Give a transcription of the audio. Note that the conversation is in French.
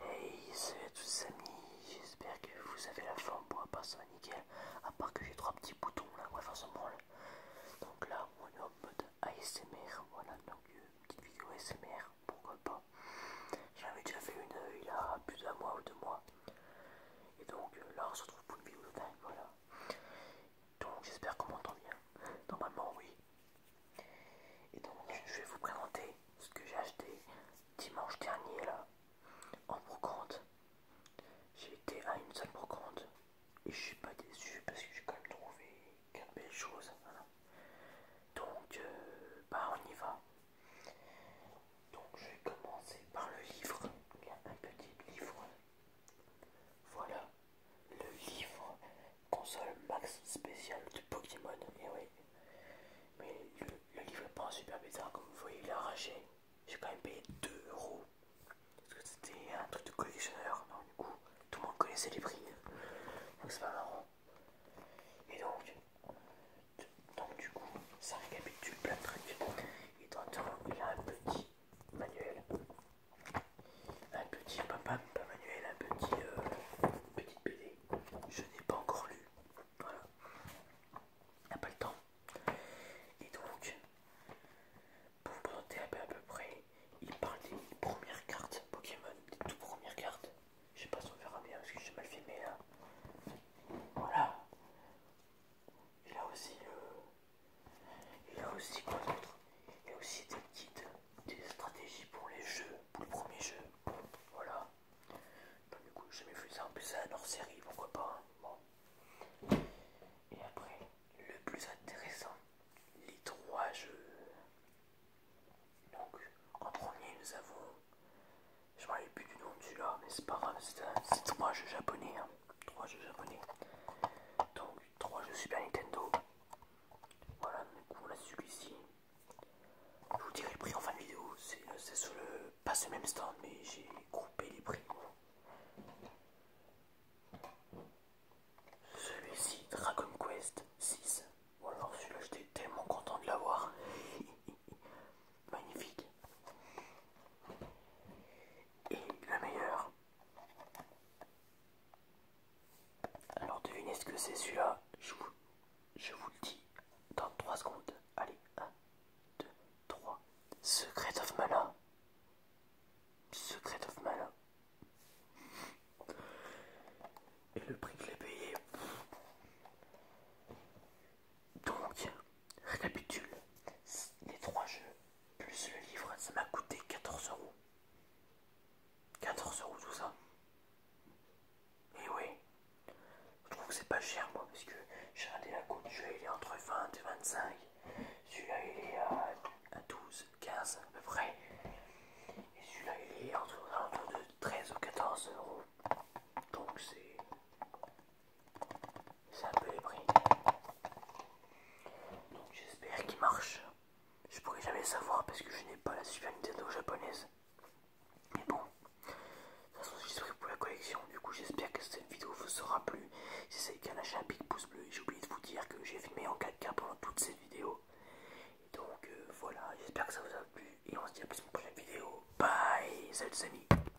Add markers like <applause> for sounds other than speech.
Hey, salut à tous amis, j'espère que vous avez la forme pour ça nickel, à part que j'ai trois petits boutons là, quoi, forcément, faire Donc là, on est en mode ASMR, voilà, donc une euh, petite vidéo ASMR, pourquoi pas. J'en ai déjà fait une euh, il y a plus d'un mois ou deux mois. Et donc euh, là, on se retrouve pour une vidéo de dingue, voilà. Donc j'espère qu'on m'entend bien. Normalement, oui. Et donc je vais vous présenter ce que j'ai acheté dimanche dernier là en brocante. J'ai été à une seule brocante et je suis pas déçu parce que j'ai quand même trouvé quatre belles choses. Donc euh, bah on y va. Donc je vais commencer par le livre. Il y a un petit livre. Voilà, le livre console max spécial de Pokémon. Et eh oui, mais le, livre est pas super bizarre, comme vous voyez, il est arraché. J'ai quand même payé 2 euros parce que c'était un truc de collectionneur. non du coup, tout le monde connaissait les prix, donc c'est pas marrant. Et donc, donc du coup, ça récapitule plein de trucs. Et dans le il y a un petit manuel un petit papa, pas manuel, un petit euh, petite BD. Je n'ai pas encore lu. Voilà. il N'a pas le temps. Et donc, pour vous présenter à peu, à peu près, il parle des premières cartes Pokémon, des toutes premières cartes. Je sais pas si on verra bien parce que j'ai mal filmé là. Voilà. Et là aussi, le... Euh, il y a aussi quoi d'autre Il y a aussi des guides, des stratégies pour les jeux, pour le premier jeu. Voilà. Bah, du coup, j'ai jamais vu ça. En plus, c'est un hors série, pourquoi pas. Hein. bon. Et après, le plus intéressant, les trois jeux. Donc, en premier, nous avons. Je me rappelle plus du nom de celui-là, mais c'est pas grave, c'est trois jeux japonais. Hein. Trois jeux japonais. 3 suis Super Nintendo. Voilà, du coup, celui-ci. Je vous dirai le prix en fin de vidéo. C'est euh, sur le. pas ce même stand, mais j'ai groupé les prix. Celui-ci, Dragon Quest 6. voilà alors celui-là, j'étais tellement content de l'avoir. <laughs> Magnifique. Et la meilleure alors devinez ce que c'est celui-là, je vous, le dis dans 3 secondes. Allez, 1, 2, 3. Secret of Mana. Secret of Mana. Et le prix que j'ai payé. Donc, Récapitule, les trois jeux, plus le livre, ça m'a coûté 14 euros. 14 euros tout ça. Et eh oui, je trouve que c'est pas cher moi, parce que j'ai regardé la cote celui-là il est entre 20 et 25. Celui-là, il est à, 12, 15 à peu près. Et celui-là, il est entre, de 13 ou 14 euros. Donc c'est c'est un peu les prix. Donc j'espère qu'il marche. Je pourrais jamais le savoir parce que je n'ai pas la Super Nintendo japonaise. Mais bon, ça c'est façon pour la collection. Du coup j'espère que cette vidéo vous aura plu. Si c'est le cas, lâchez un petit pouce bleu. J'ai oublié de vous dire que j'ai filmé en 4K pendant toute cette vidéo. donc euh, voilà, j'espère que ça vous a plu. Et on se dit à plus pour une prochaine vidéo. Bye, salut amis.